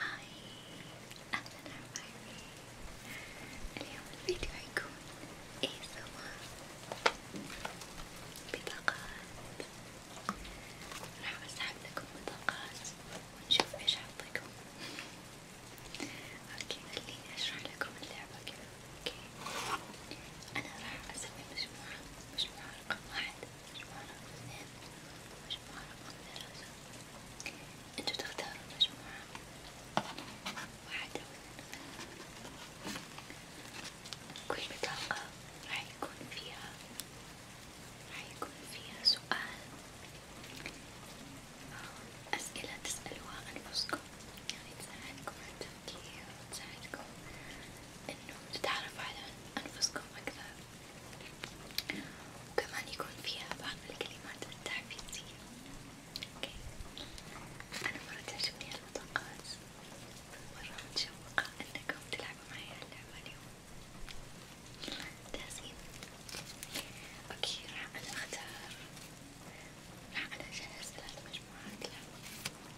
هاي أهلا حبايبي اليوم الفيديو حيكون ASMR بطاقات راح أسحب لكم بطاقات ونشوف ايش أعطيكم اوكي خليني أشرح لكم اللعبة كذا اوكي أنا راح أسوي مجموعة مجموعة رقم واحد مجموعة رقم اثنين مجموعة رقم ثلاثة انتو تختاروا مجموعة واحد أو اثنين كل بطاقة راح يكون فيها راح يكون فيها سؤال أسئلة تسألوها أنفسكم يعني تساعدكم على وتنمية وتساعدكم انه تتعرفوا على انفسكم اكثر وكمان يكون فيها بعض الكلمات التحفيزية اوكي انا مرة تعجبني المطاقات مرة متشوقة انكم تلعبوا معي اللعبة اليوم جاهزين؟ اوكي راح انا اختار راح انا اجهز ثلاث مجموعات لعبة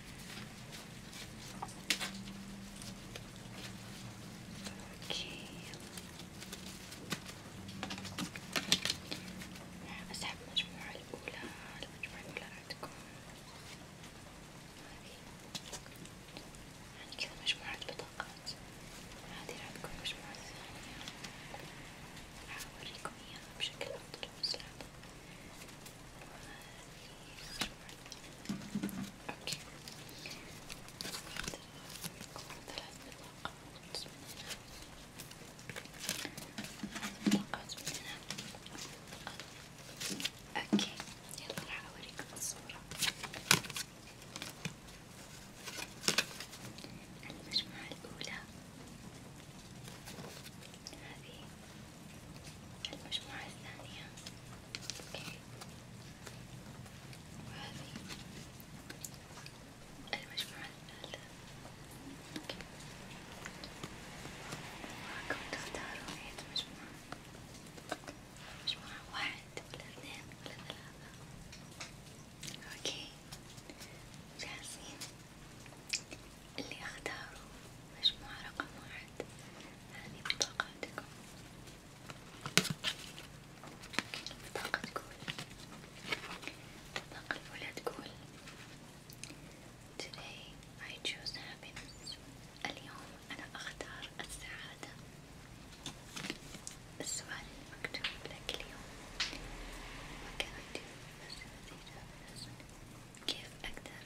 اوكي اسحب المجموعة الاولى المجموعة الاولى عندكم يعني كذا مجموعة بطاقات هذه راح تكون المجموعة الثانية راح اوريكم اياها بشكل افضل واسلام اوكي ثلاث بطاقات من هنا بطاقات من هنا اوكي يلا راح اوريكم الصورة المجموعة الأولى هذه المجموعة الثانية أوكي وهذه المجموعة الثالثة أوكي وراكم تختاروا أي مجموعة مجموعة واحد ولا اثنين ولا ثلاثة أوكي جاهزين اللي اختاره مجموعة رقم واحد هذه بطاقاتكم البطاقة تقول البطاقة الأولى تقول Today I choose happiness اليوم أنا أختار السعادة السؤال المكتوب لك اليوم What can I do? كيف أقدر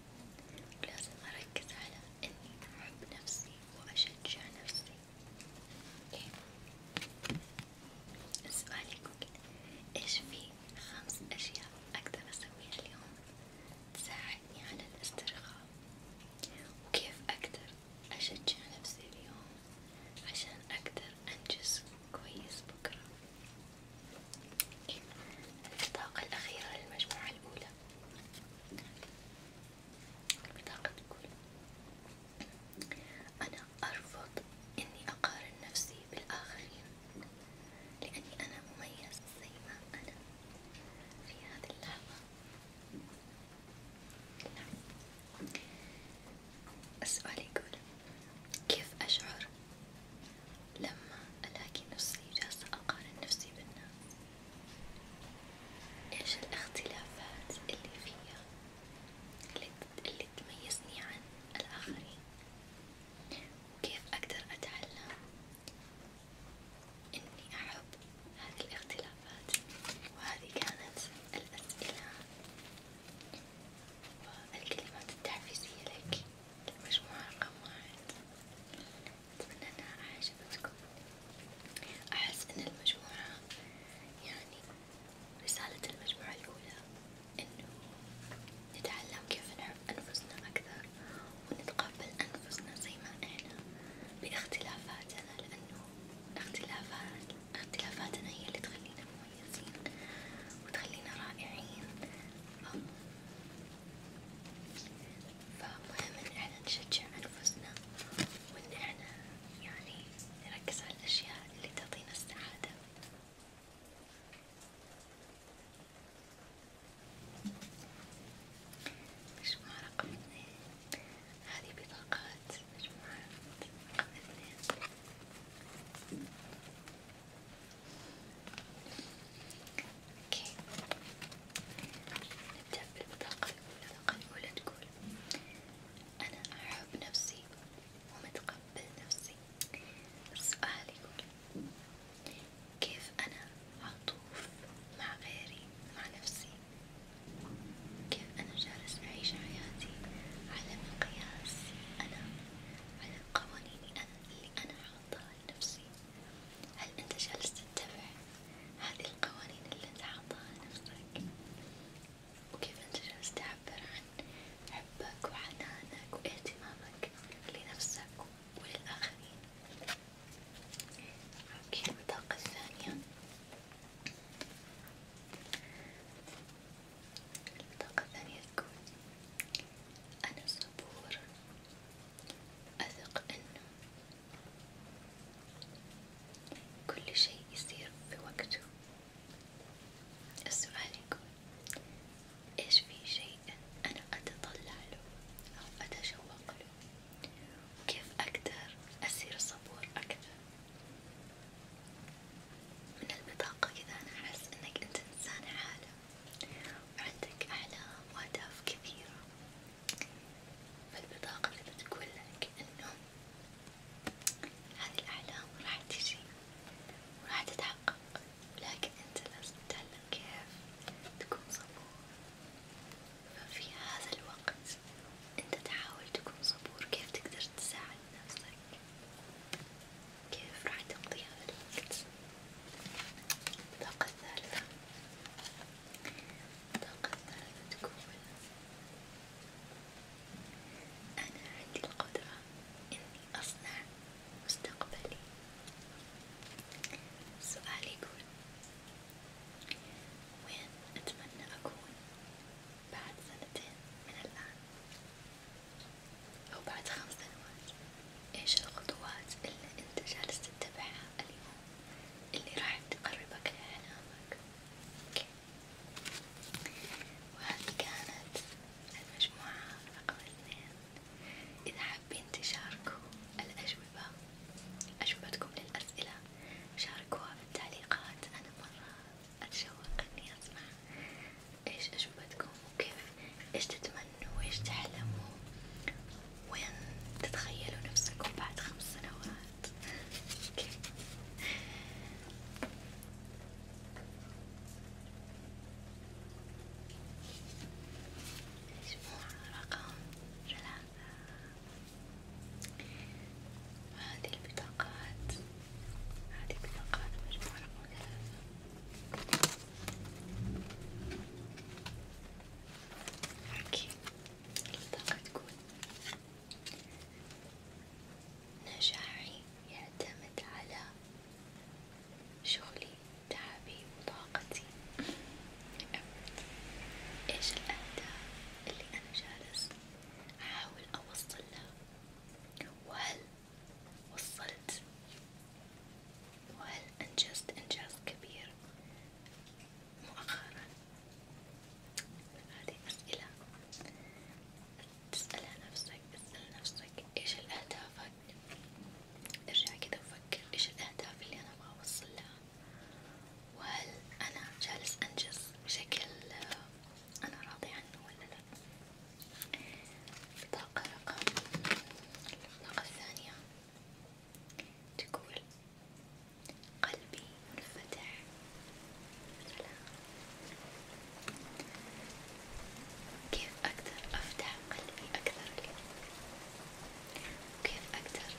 ولازم أركز على إني أحب نفسي وأشجع نفسي، إيه السؤال يقول إيش في خمس أشياء أقدر أسويها اليوم تساعدني على الاسترخاء، وكيف أقدر أشجع نفسي اليوم عشان أقدر أنجز كويس بكرة. البطاقة الأخيرة للمجموعة الأولى البطاقة تقول أنا أرفض إني أقارن نفسي بالآخرين لأني أنا مميز زي ما أنا في هذه اللحظة نعم. السؤال يقول كيف أشعر لما ألاقي نفسي جالسة أقارن نفسي بالناس؟ إيش الاختلافات اللي فيا اللي تميزني عن الآخرين؟ وكيف أقدر أتعلم إني أحب هذه الاختلافات؟ وهذه كانت الأسئلة والكلمات التحفيزية لك المجموعة رقم واحد أتمنى أنها أعجبتكم أحس أن المجموعة يعني رسالة المجموعة الأولى أنه نتعلم كيف نحب أنفسنا أكثر ونتقبل أنفسنا زي ما إحنا باختلافاتنا لأنه اختلافات اختلافاتنا هي اللي تخلينا مميزين وتخلينا رائعين فمهم ان احنا نشجع انفسنا وان احنا يعني نركز على الاشياء اللي تعطينا السعادة مجموعة رقم اثنين هذه بطاقات مجموعة رقم اثنين اوكي نبدأ بالبطاقة الأولى، البطاقة الأولى تقول أنا أحب نفسي ومتقبل نفسي، السؤال يقول كيف أنا عطوف مع غيري مع نفسي؟ كيف أنا جالس أعيش حياتي على مقياس أنا على القوانين اللي أنا حاطها لنفسي، هل أنت جالس تتبع هذه القوانين اللي أنت حاطها لنفسك؟ وكيف أنت جالس تعبر عن حبك وحنانك واهتمامك لنفسك وللآخرين؟ أوكي البطاقة الثانية الطاقة الثانية تقول أنا صبور أثق إنه كل شيء يصير في وقته، السؤال يقول إيش في شيء أنا أتطلع له أو أتشوق له؟ وكيف أقدر أصير صبور أكثر؟ من البطاقة كذا أنا أحس إنك أنت إنسان عالم وعندك أحلام وأهداف كثيرة، فالبطاقة اللي بتقول لك إنه هذه الأحلام راح تجي وراح تتحقق، لكن أنت لازم تتعلم كيف تكون صبور، ففي هذا الوقت أنت تحاول تكون صبور كيف تقدر تساعد عن نفسك كيف راح تقضي هذا الوقت الطاقة الثالثة الطاقة الثالثة تقول أنا عندي القدرة إني أصنع مستقبلي سؤالي يقول وين أتمنى أكون بعد سنتين من الآن أو بعد خمس سنوات إيش الخطوات اللي أنت جالس تتبعها اليوم اللي راح تقربك لأحلامك أوكي وهذه كانت المجموعة رقم اثنين إذا حابين تشاركوا الأجوبة أجوبتكم للأسئلة شاركوها بالتعليقات أنا مرة أتشوق إني أسمع إيش أجوبتكم وكيف إيش تتمنوا وإيش تحلموا وين تتخيلوا نفسكم بعد خمس سنوات كيف مجموعة رقم ثلاثة وهذه البطاقات هذه بالمقالة مجموعة رقم ثلاثة حكي البطاقة تقول نجاحي يعتمد على شغلي تعبي وطاقتي ايش الأهداف اللي أنا جالس أحاول أوصل لها وهل وصلت وهل أنجزت إنجاز كبير مؤخرا؟ هذه أسئلة تسألها نفسك تسأل نفسك إيش الأهدافك؟ ارجع كده وفكر إيش الأهداف اللي أنا أبغى أوصل لها؟ وهل أنا جالس أنجز بشكل أنا راضي عنه ولا لا؟ البطاقة رقم البطاقة الثانية تقول قلبي منفتح سلام كيف أقدر أفتح قلبي أكثر اليوم؟ وكيف أقدر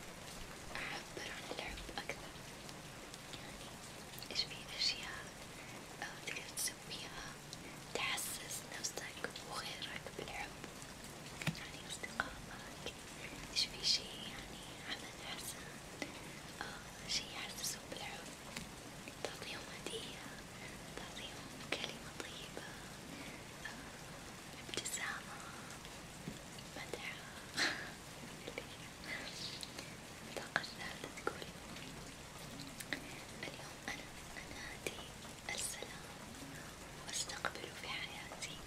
أعبر عن الحب أكثر؟ إيش في أشياء تقدر تسويها تحسس نفسك وغيرك بالحب يعني أصدقائك إيش في شي يعني عمل حسن آه شي يحسسهم بالحب تعطيهم هدية تعطيهم كلمة طيبة ابتسامة مدح الطاقة الثالثة تقول اليوم أنا أنادي السلام وأستقبله في حياتي،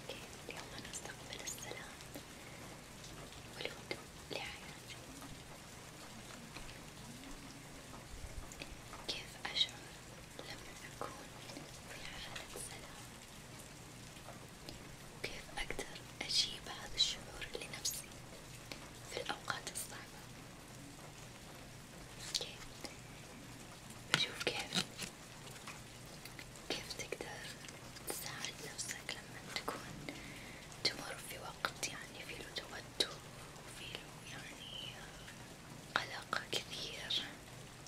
أوكي اليوم أنا أستقبل السلام والهدوء لحياتي، كيف أشعر لما أكون في حالة سلام؟ وكيف أقدر أجيب هذا الشعور لنفسي في الأوقات الصعبة أوكي بشوف كيف كيف تقدر تساعد نفسك لما تكون تمر في وقت يعني فيه توتر وفيه يعني قلق كثير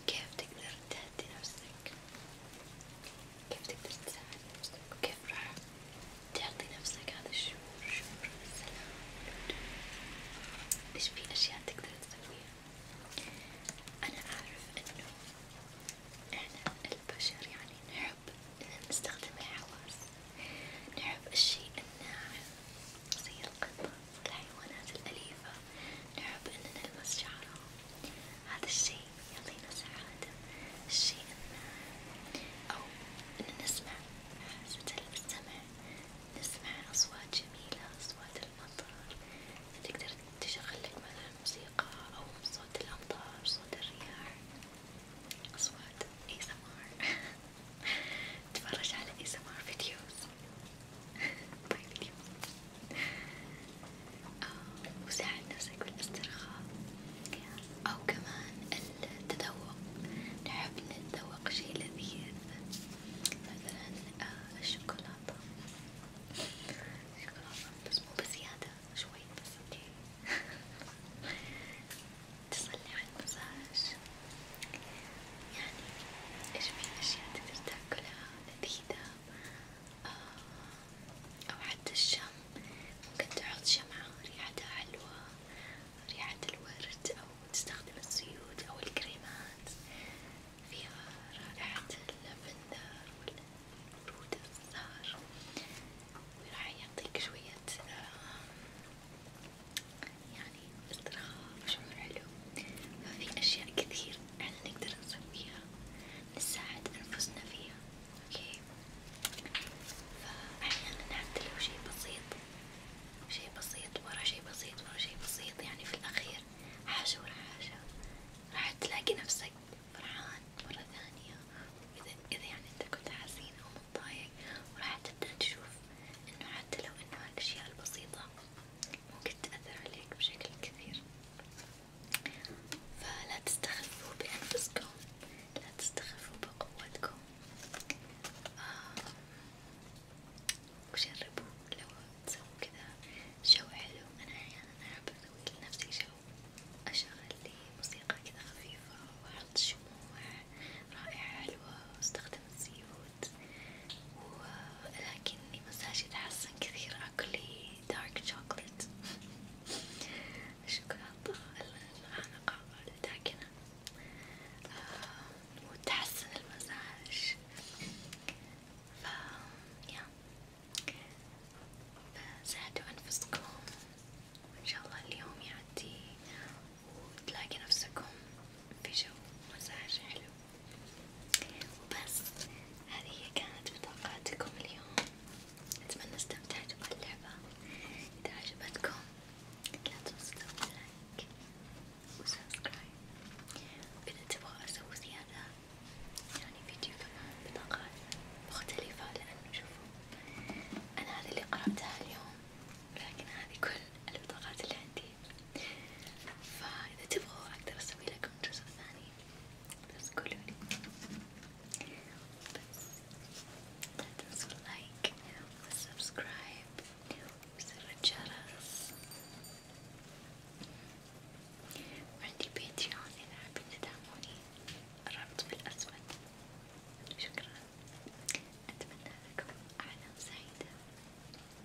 كيف تقدر تهدي نفسك عليك كيف تقدر تساعد نفسك وكيف راح تعطي نفسك هذا الشعور شعور السلام والهدوء إيش في أشياء تقدر تسويها أنا أعرف إنه إحنا البشر يعني نحب إن نستخدم الحواس نحب الشيء الناعم زي القطة والحيوانات الأليفة نحب إن نلمس شعرها هذا الشيء يعطينا سعادة الشيء إن أو إن نسمع حاسة السمع نسمع أصوات جميلة أصوات الأمطار تقدر تشغل لك مثلا موسيقى أو صوت الأمطار صوت الرياح أصوات ASMR تفرج على ASMR فيديوز طيب اليوم آه وساعد نفسك بالاسترخاء أو كمان التذوق نحب نتذوق شيء لذيذ مثلا آه الشوكولاتة الشوكولاتة بس مو بزيادة شوي بس اوكي تصلي على المساج يعني ايش في اشياء تقدر تاكلها لذيذة آه، أو حتى الشم ممكن تحط شمعة ريحتها حلوة ريحة الورد أو تستخدم الزيوت أو الكريمات فيها رائحة اللافندر والورود الزهر وراح يعطيك شوية آه، يعني استرخاء وشعور حلو، ففي أشياء كثير احنا نقدر نسويها نساعد أنفسنا فيها اوكي فأحيانا حتى لو شي بسيط شي بسيط ورا شي بسيط ورا شي بسيط يعني في الأخير حاجة ورا حاجة راح تلاقي نفسك فرحان مرة ثانية إذا إذا يعني أنت كنت حزين أو متضايق وراح تبدأ تشوف إنه حتى لو إنه هالأشياء البسيطة ممكن تأثر عليك بشكل كبير فلا تستخفوا بأنفسكم لا تستخفوا بقوتكم آه. وجربوا لو تسووا كذا جو حلو أنا أحيانا يعني أحب أسوي لنفسي جو أشغل لي موسيقى كذا خفيفة وأحط شموع رائحة حلوة وأستخدم الزيوت موجود ولكني مزاجي تحسن كثير أكل دارك شوكولات الشوكولاتة الغامقة الداكنة آه وتحسن المزاج ف يا فساعدوا أنفسكم وإن شاء الله اليوم يعدي وتلاقي نفسكم في جو مساج حلو وبس هذه كانت بطاقاتكم اليوم أتمنى استمتعتوا باللعبة إذا عجبتكم لا تنسوا تسووا لايك وسبسكرايب وإذا تبغوا أسوي زيادة يعني فيديو كمان بطاقات مختلفة لأنه شوفوا أنا هذه اللي قرأتها اليوم لكن هذه كل البطاقات اللي عندي فإذا تبغوا أقدر أسوي لكم جزء ثاني بس قولولي بس لا تنسوا اللايك والسبسكرايب وزر الجرس وعندي باتريون إذا حابين تدعموني الرابط في الأسود شكرا أتمنى لكم أعلام سعيدة